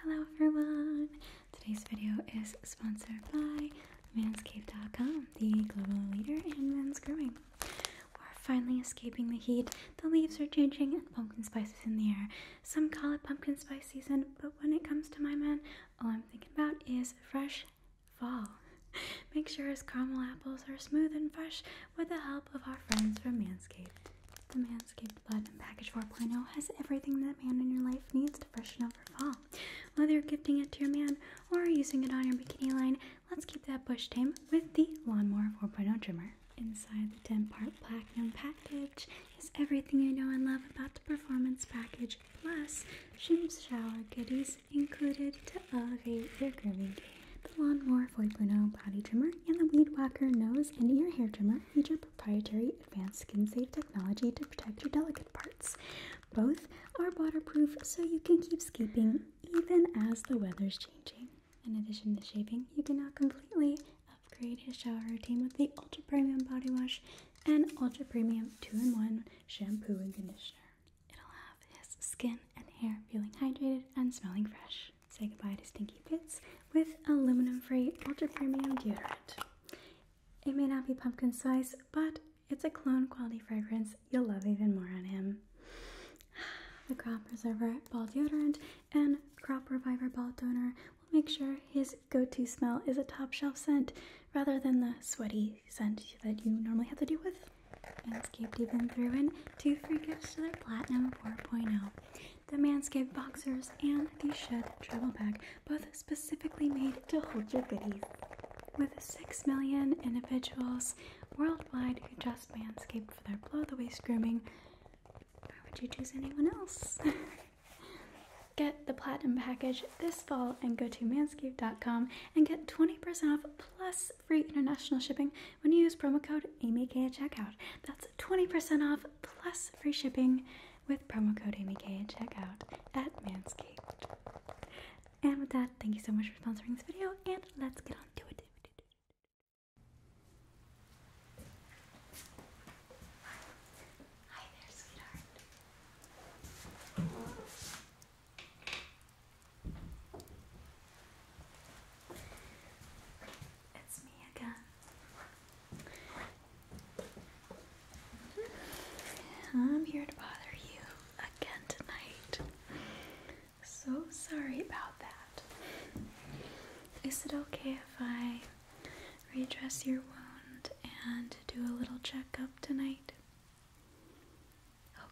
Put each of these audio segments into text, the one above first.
Hello everyone! Today's video is sponsored by Manscaped.com, the global leader in men's grooming. We're finally escaping the heat, the leaves are changing, and pumpkin spice is in the air. Some call it pumpkin spice season, but when it comes to my man, all I'm thinking about is fresh fall. Make sure his caramel apples are smooth and fresh with the help of our friends from Manscaped. The Manscaped Platinum Package 4.0 has everything that man in your life needs to freshen up for fall. Whether you're gifting it to your man or using it on your bikini line, let's keep that bush tame with the Lawnmower 4.0 trimmer. Inside the 10 part platinum package is everything you know and love about the performance package, plus Shim's shower goodies included to elevate your grooming game. The Lawnmower 4.0 body trimmer and the Weed Whacker nose and ear hair trimmer Cleaner proprietary advanced skin safe technology to protect your delicate parts. Both are waterproof so you can keep skipping even as the weather's changing. In addition to shaving, you can now completely upgrade his shower routine with the Ultra Premium Body Wash and Ultra Premium 2 in 1 Shampoo and Conditioner. It'll have his skin and hair feeling hydrated and smelling fresh. Say goodbye to stinky Cupids with aluminum free ultra premium deodorant. It may not be pumpkin spice, but it's a clone quality fragrance you'll love even more on him. The Crop Preserver Ball Deodorant and Crop Reviver Ball Donor will make sure his go to smell is a top shelf scent rather than the sweaty scent that you normally have to deal with. Manscaped even through in two free gifts to their Platinum 4.0 the Manscaped Boxers and the Shed Travel Bag, both specifically made to hold your goodies. With 6 million individuals worldwide who just Manscaped for their blow the waist grooming, why would you choose anyone else? get the Platinum Package this fall and go to manscaped.com and get 20% off plus free international shipping when you use promo code AMYK at checkout. That's 20% off plus free shipping with promo code AmyK at checkout at Manscaped. And with that, thank you so much for sponsoring this video, and let's get on to it. Hi there, sweetheart. It's me again. I'm here to bother you again tonight. So sorry about that. Is it okay if I redress your wound and do a little checkup tonight?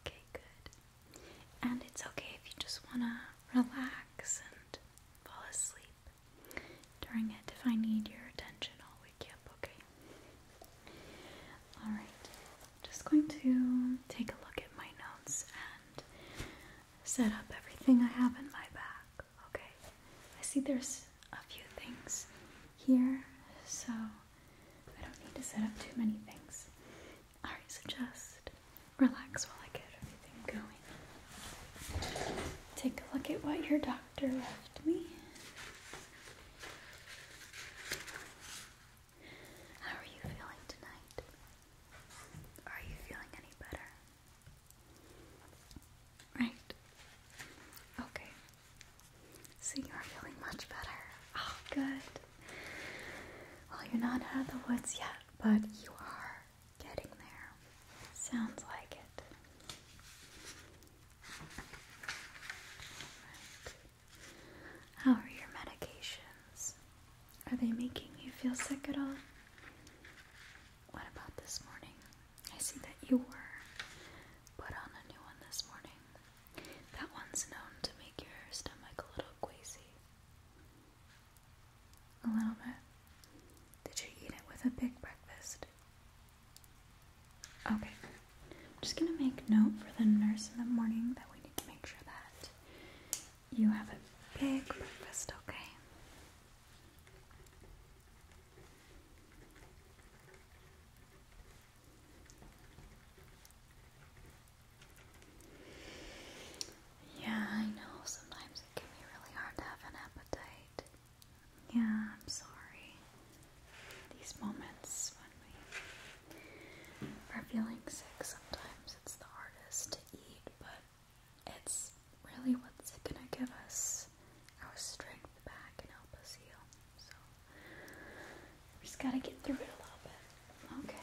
Okay, good. And it's okay if you just want to relax and fall asleep. During it, if I need your attention, I'll wake you up, okay? Alright, just going to take a look at my notes and set up everything I have in my bag, okay? I see there's a few things here, so I don't need to set up too many things. Alright, so just relax while I get Take a look at what your doctor left me. How are you feeling tonight? Are you feeling any better? Right. Okay. So you are feeling much better. Oh, good. Well, you're not out of the woods yet, but you are Getting there. Sounds like it. How are your medications? Are they making you feel sick at all? What about this morning? I see that you were put on a new one this morning. That one's known to make your stomach a little queasy. A little bit. Did you eat it with a big breakfast? Okay. I'm just going to make note for the nurse in the morning that we need to make sure that you have a big breakfast, okay? Yeah, I know. Sometimes it can be really hard to have an appetite. Yeah, I'm sorry. These moments when we are feeling sick, sometimes it's the hardest to eat, but it's really what's gonna give us our strength back and help us heal. So we just gotta get through it a little bit. Okay.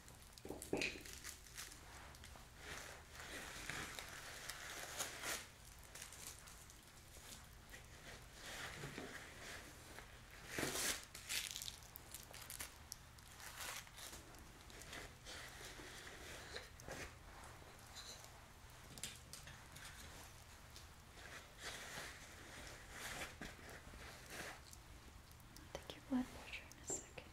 Take your blood pressure in a second.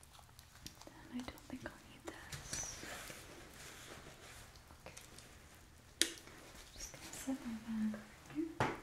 I don't think i need this. Okay. I'm just gonna set my bag here. Okay.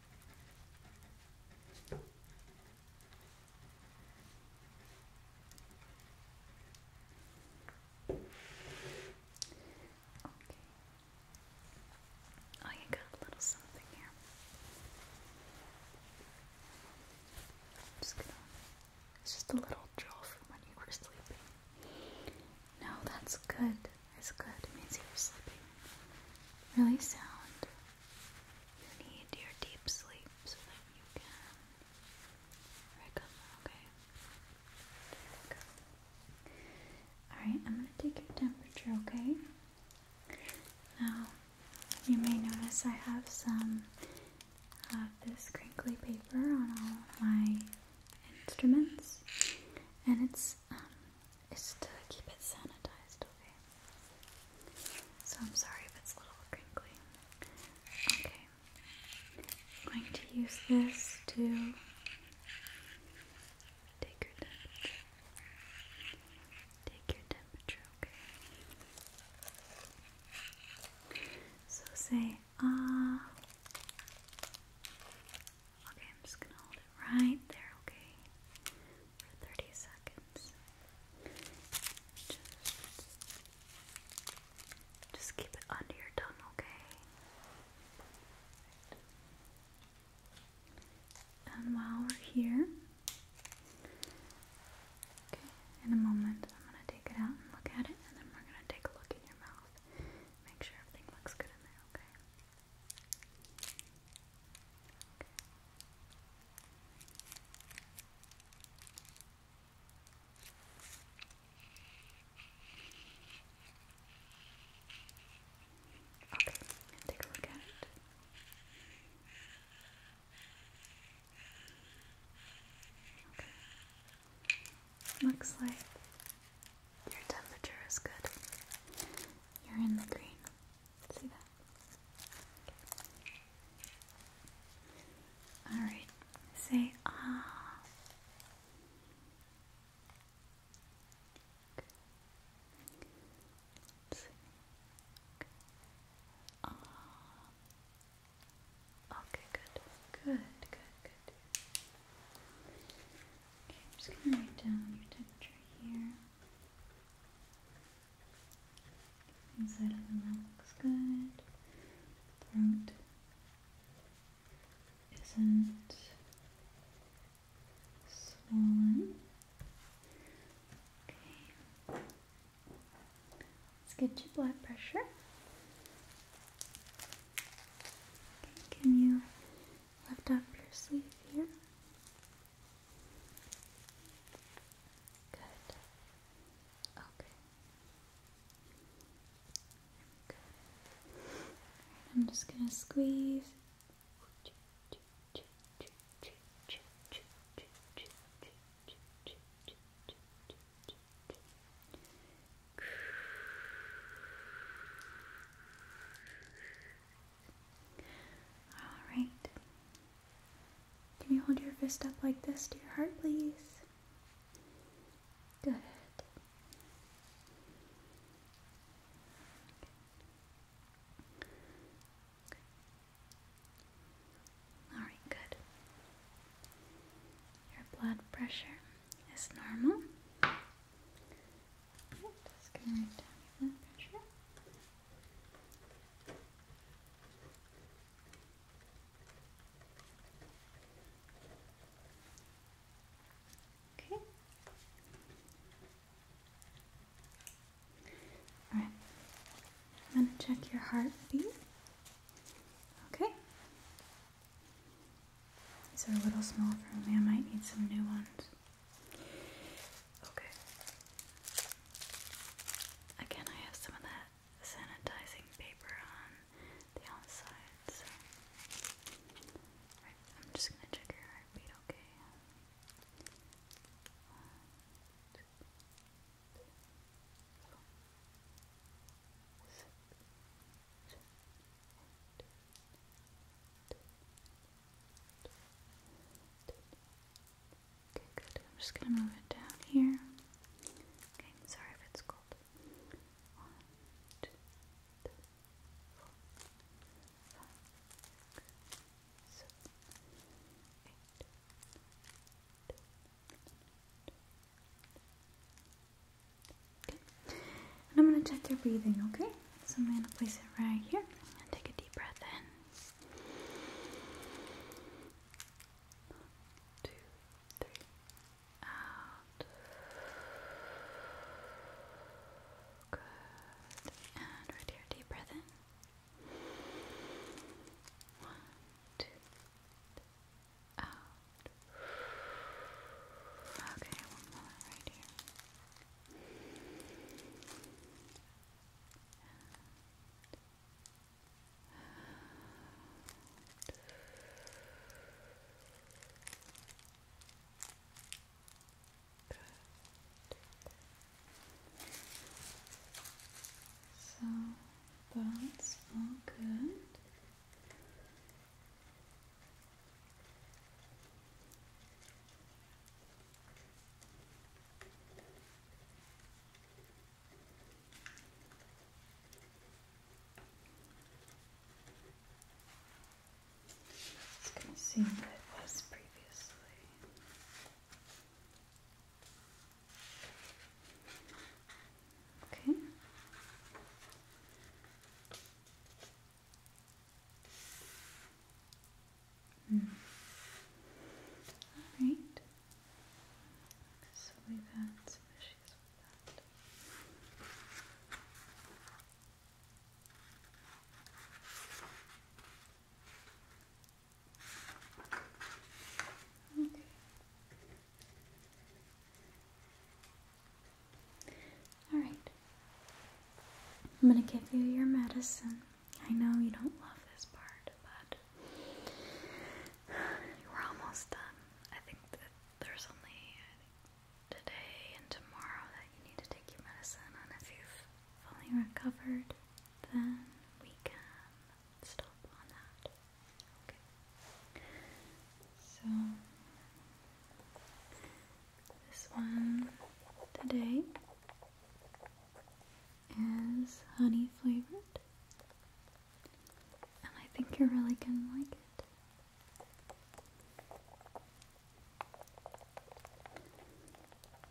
Oh, you got a little something here. It's just a little drill for when you were sleeping. No, that's good. It's good. It means you are sleeping really sound. You need your deep sleep so that you can recover, okay? Alright, I'm gonna take your temperature, okay? Now, you may notice I have some of this crinkly paper on all my instruments, and it's um, is to keep it sanitized, okay? So I'm sorry if it's a little crinkly. Okay. going to use this to take your temperature. Take your temperature, okay? So say, ah. Okay, I'm just gonna hold it right there, okay? For 30 seconds. Just, just keep it under your tongue, okay? And while we're here, okay, in a moment I'm gonna take it out and look at it, and then we're gonna take a look in your mouth. Make sure everything looks good in there, okay? Okay, take a look at it. Okay. Looks like your temperature is good. You're in the green. See that? Alright. Say Ah. Okay, good. Good, good, good. Okay, I'm just going to write down your temperature here. Inside of the mouth looks good. Throat isn't swollen. Okay. Let's get your blood pressure. Okay, can you Lift up your sleeve here. Good. Okay. Good. I'm just going to squeeze. Alright. Can you hold your fist up like this to your heart, please? Good. All right, good. Your blood pressure is normal. Okay. Alright. I'm gonna check your heartbeat. Okay. These are a little small for me. I might need some new ones. Okay. Again, I have some of that sanitizing paper on the outside, so. I'm just gonna check your heartbeat, okay? Okay, good. I'm just gonna move it down here. Okay, sorry if it's cold. One, two, three, four, five, six, eight. Okay. I'm gonna check their breathing, okay? So I'm going to place it right here and take a deep breath in. One, two, three. Out. Good. And right here, deep breath in. One, two, three. Out. Okay, one more right here. So that's all good. It's going to what it was previously. Okay. All right. So we've had some issues with that. Okay. All right. I'm gonna give you your medicine. I know you don't love this part, but we're almost done. I think that there's only today and tomorrow that you need to take your medicine, and if you've fully recovered, then we can stop on that. Okay. So this one today is honey flavored, and I think you're really gonna like it.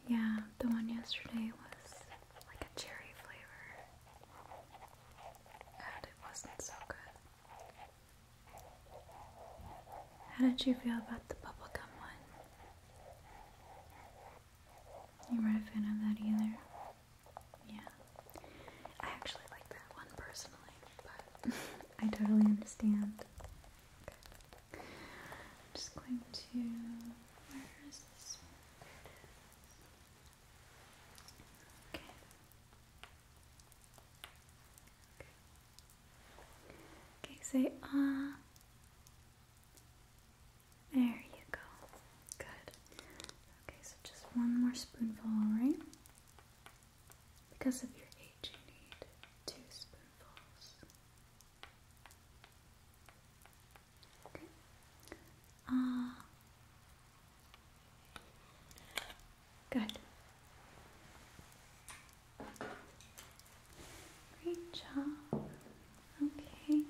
Yeah, the one yesterday was like a cherry flavor, and it wasn't so good. How did you feel about the bubblegum one? You weren't a fan of that either? Yeah. I actually like that one personally, but I totally understand. I'm just going to. Okay, say ah. There you go. Good. Okay, so just one more spoonful, alright? Because of your age, you need two spoonfuls. Ah. Good. Great job. Okay.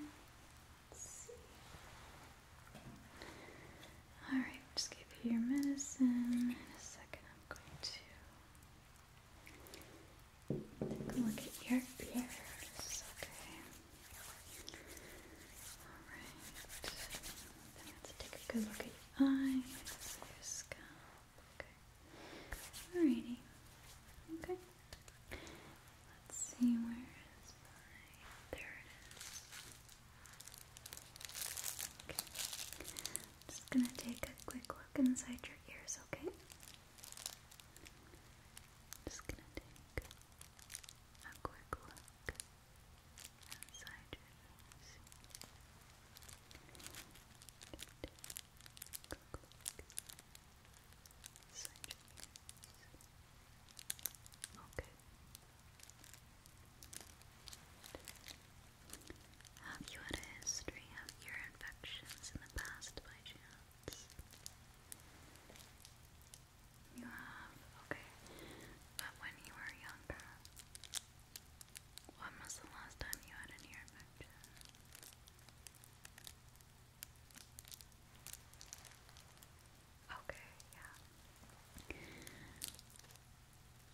All right, just give you your medicine. In a second, I'm going to look at your ears. Okay. All right. Then I take a good look at your eyes, your scalp. Okay. Alrighty. Okay. Let's see where is my there it is. just gonna take a quick look inside your ears, okay? Just gonna take a quick look inside your ears. Okay. Have you had a history of ear infections in the past by chance? You have? Okay. But when you were younger, when was the last time you had an ear infection? Okay, yeah.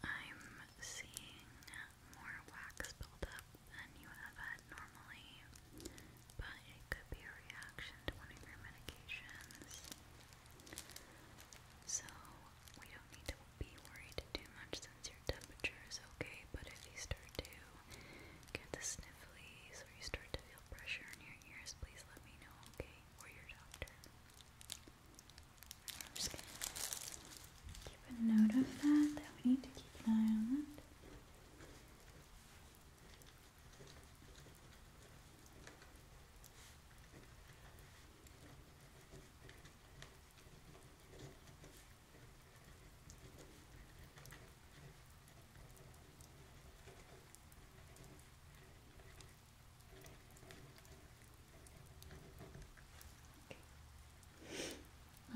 I'm seeing more wax build than you have had normally, but it could be a reaction to one of your medications. So we don't need to be worried too much since your temperature is okay, but if you start to get the snifflies or you start to feel pressure in your ears, please let me know, okay? Or your doctor. I'm just gonna keep a note of that, that we need to keep an eye on that.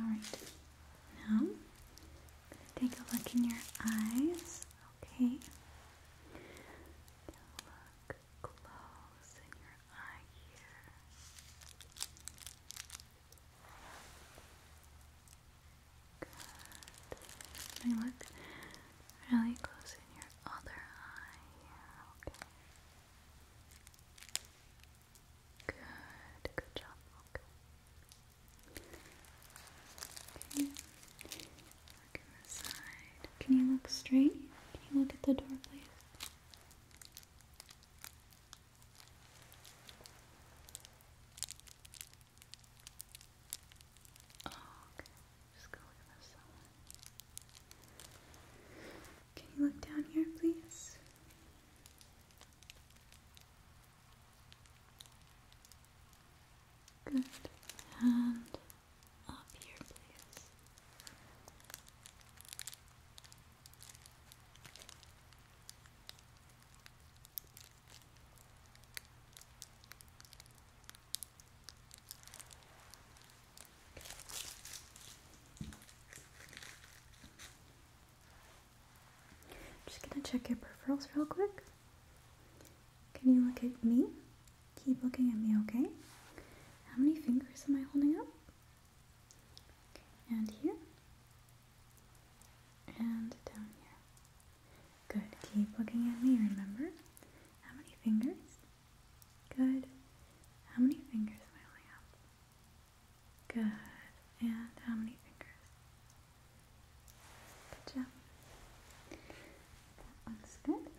All right. Now, take a look in your eyes. Okay. Look close in your eye here look really close in your other eye okay? Good, good job, okay. Okay. Look in the side. Can you look straight? Can you look at the door, please? okay. Just go look at someone. Can you look down here, please? Good. And up here, please. Just gonna check your peripherals real quick. Can you look at me? Keep looking at me, okay? How many fingers am I holding up? and here, and down here. Good. Keep looking at me, remember? How many fingers? Good. How many fingers I only have? Good. And how many fingers? Good job. That looks good.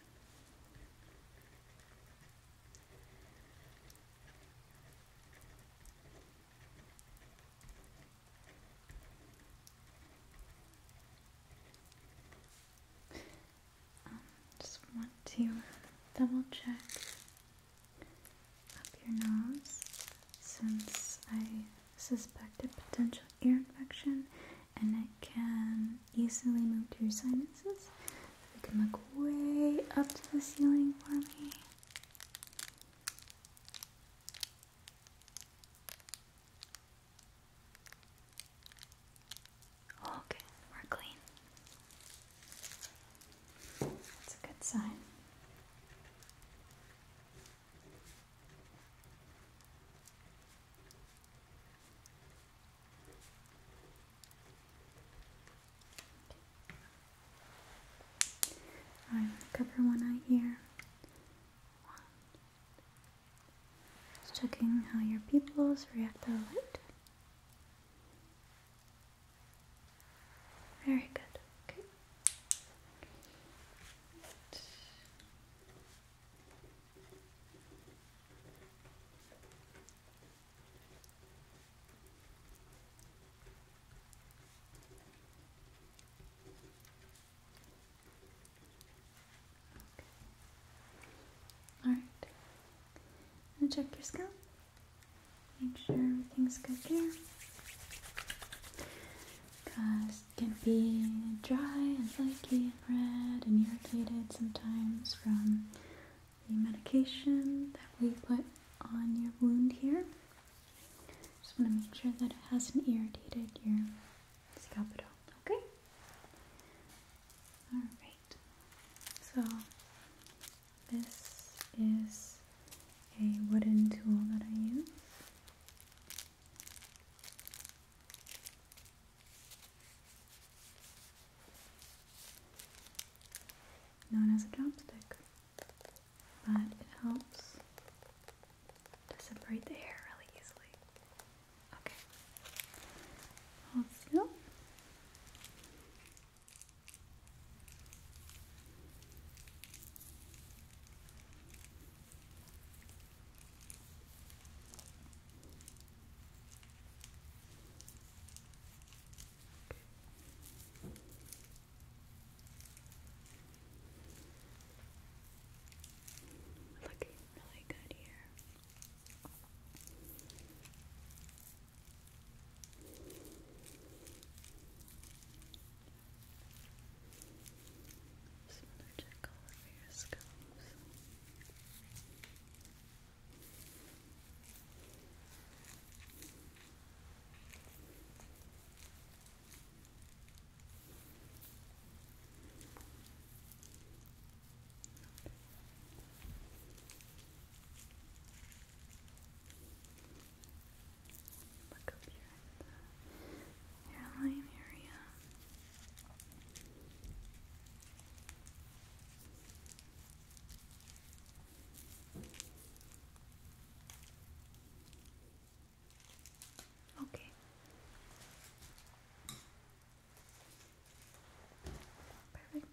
Um, just want to double check up your nose since I suspect a potential ear infection and it can easily move to your sinuses. So you can look way up to the ceiling for me. Okay, we're clean. That's a good sign. I'm going to cover one eye here. Just checking how your pupils react to the light. Very good. Okay. All right. Now check your scalp. Make sure everything's good there. it can be dry and flaky and red and irritated sometimes from the medication that we put on your wound here. Just want to make sure that it hasn't irritated your scalp at all. Okay. All right. So this is a wooden tool that I use. Known as a chopstick but it helps to separate the hair really easily. Okay. Hold still. Looking really good here. Some other check all over your scalps. Good. Look up here at the hairline area. Okay. Perfect. Okay.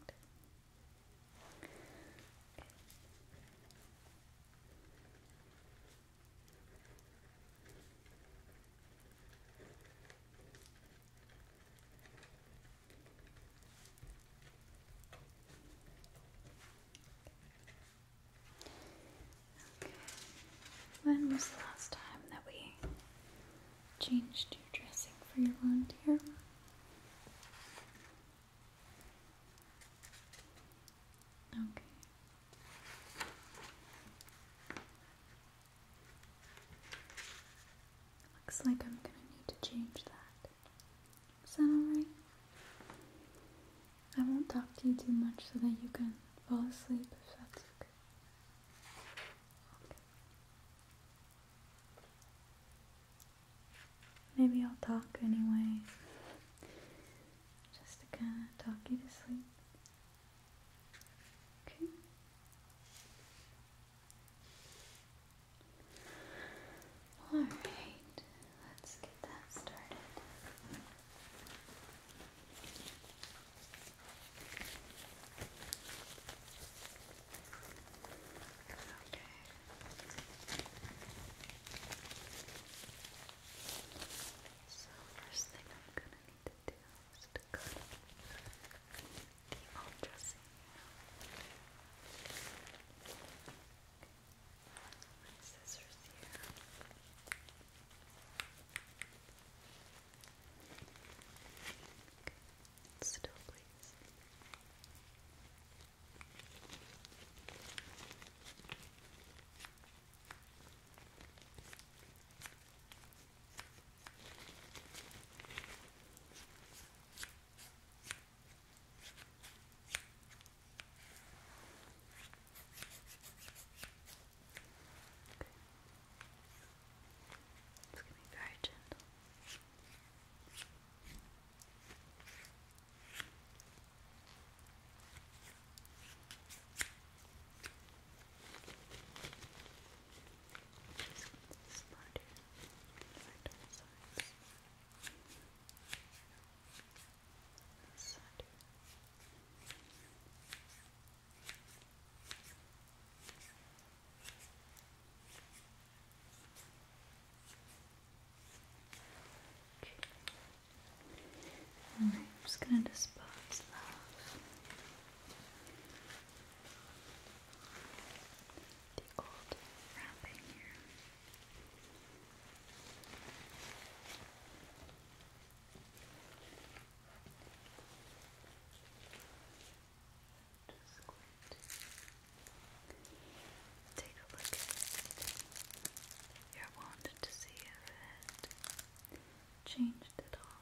When was the last time that we changed your dressing for your volunteer? Okay. Looks like I'm going to need to change that. Is that alright? I won't talk to you too much so that you can fall asleep if that's okay. Maybe I'll talk anyway, just to kind of talk you to sleep. Okay. Alright, let's get that started. Okay. So first thing I'm gonna need to do is to cut the old dressing my scissors here. Okay. Still, please. Okay. It's going to be very gentle. Just smarter, smarter, smarter. Okay right, I'm just going to dispose of the old wrapping here. Just going to take a look at your wand to see if it changed at all.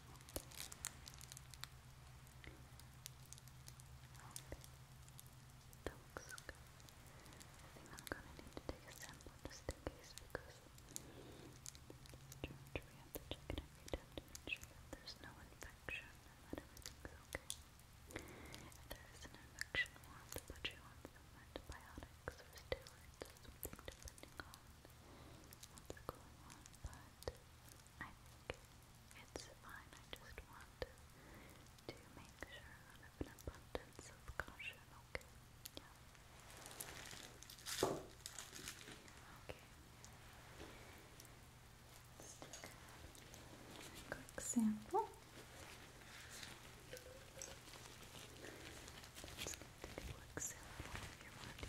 That looks good. I think I'm gonna need to take a sample just in case because we have to check it make sure that there's no infection and that everything's okay. If there is an infection, we'll have to put you on some antibiotics or steroids depending on what's going on, but I think it's fine. I just want to make sure out of an abundance of caution, okay? Okay. quick sample. Let's get quick sample of your wound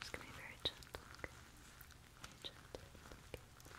just gonna be very gentle, okay? Very gentle, okay? Okay.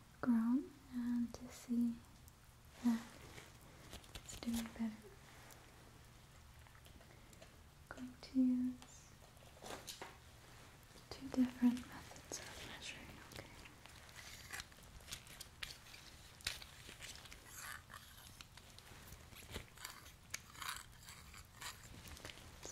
grown and to see that it's doing better. i to use two different methods of measuring, okay? Okay, so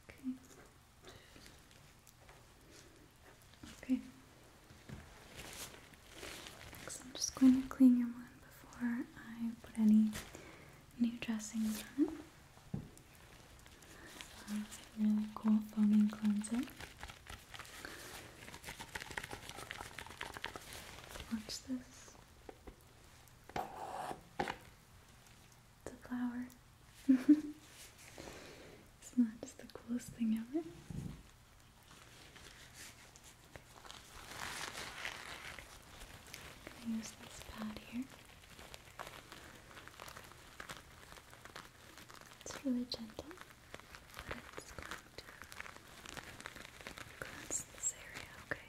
Okay. Okay. Next, I'm just going to clean your wound before I put any new dressing on it. Uh, really cool foaming cleanser. Watch this. It's a flower. it's not just the coolest thing ever. i use this pad here. It's really gentle, but it's going to cleanse this area, okay?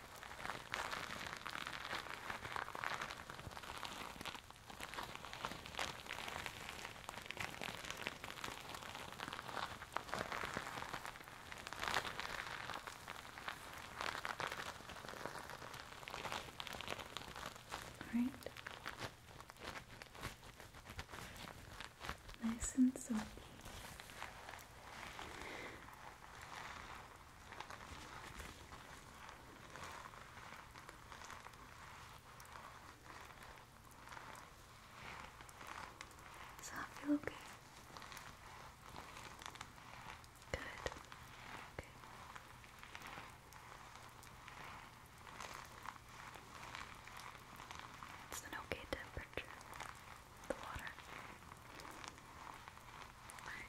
All right. Nice and soapy. So, I feel okay? Good. Okay. It's an okay temperature. The water. Alright.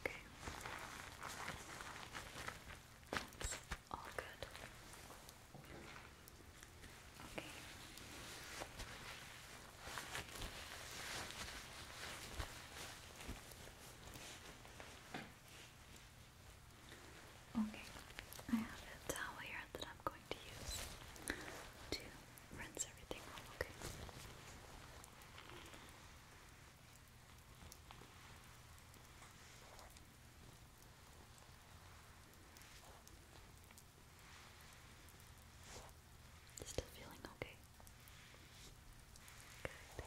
Okay. That's all good. Okay. Okay, I have a towel here that I'm going to use to rinse everything okay? Still feeling okay? Good.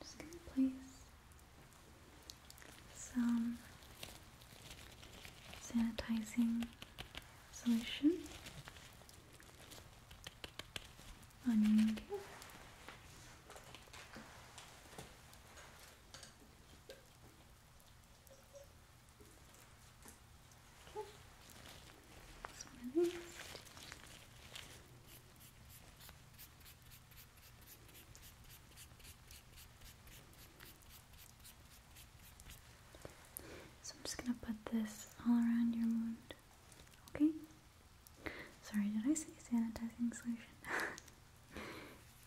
just gonna place some sanitizing solution on you. Okay. So I'm just gonna put this all around your wound. Okay? Sorry, did I say sanitizing solution?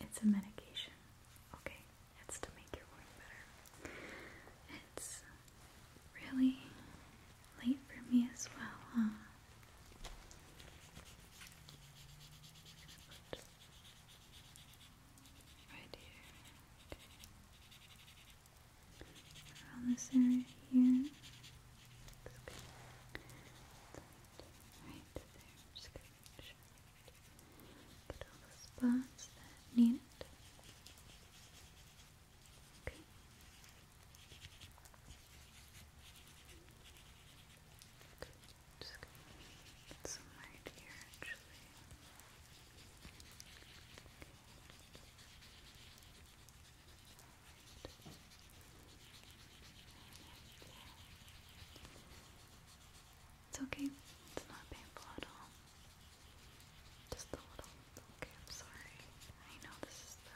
it's a medication. Okay, it's to make your wound better. It's really late for me as well, huh? Good. Right here. Around this area here. Right there. Just going sure. Get all the spots that need it. Okay. Just get some right here It's okay, it's not painful at all. Just a little. Okay, I'm sorry. I know this is the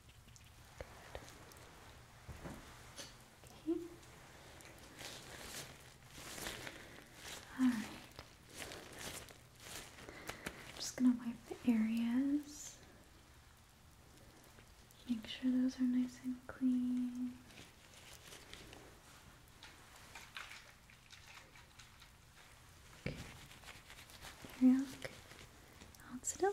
all right. I'm just going to wipe the areas. Make sure those are nice and clean. Okay. There we Hold still.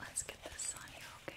Let's get this on you, okay? Okay.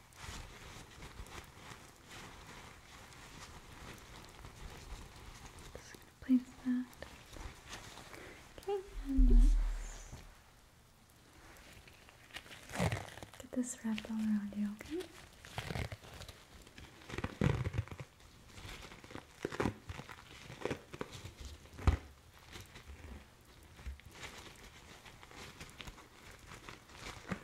Just place that. Okay, and let get this wrapped all around you, okay?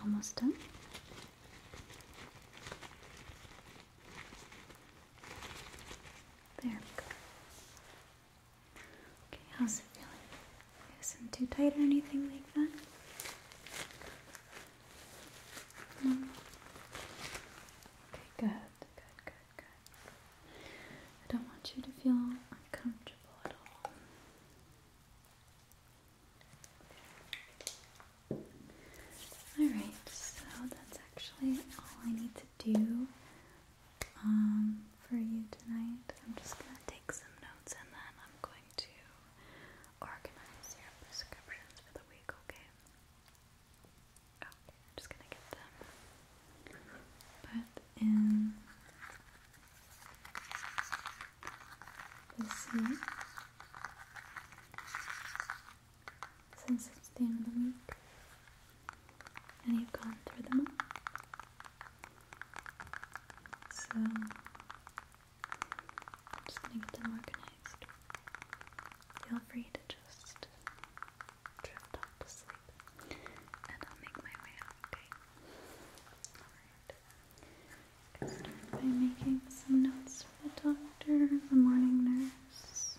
Almost done. There we go. Okay, how's it feeling? Isn't too tight or anything like that? Okay, good, good, good, good. I don't want you to feel uncomfortable at all. Alright, so that's actually all I need to do um, for you tonight. I'm just going to take some notes and then I'm going to organize your prescriptions for the week, okay? Okay, just gonna get them put in the sea. Since it's the end of the week, and you've gone through them all. So, I'm just gonna get them organized. Feel free to just drift off to sleep, and I'll make my way up, Alright. start by making some notes for the doctor, the morning nurse.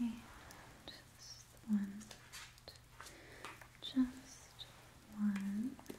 Okay, just one. Two just one. Just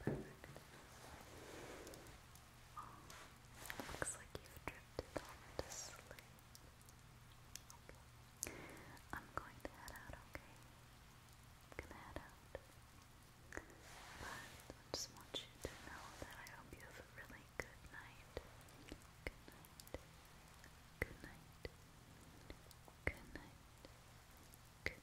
Perfect. looks like you've drifted off to sleep. I'm going to head out, okay? I'm gonna head out. But just want you to know that I hope you have a really good night. Good night. Good night. Good night. Good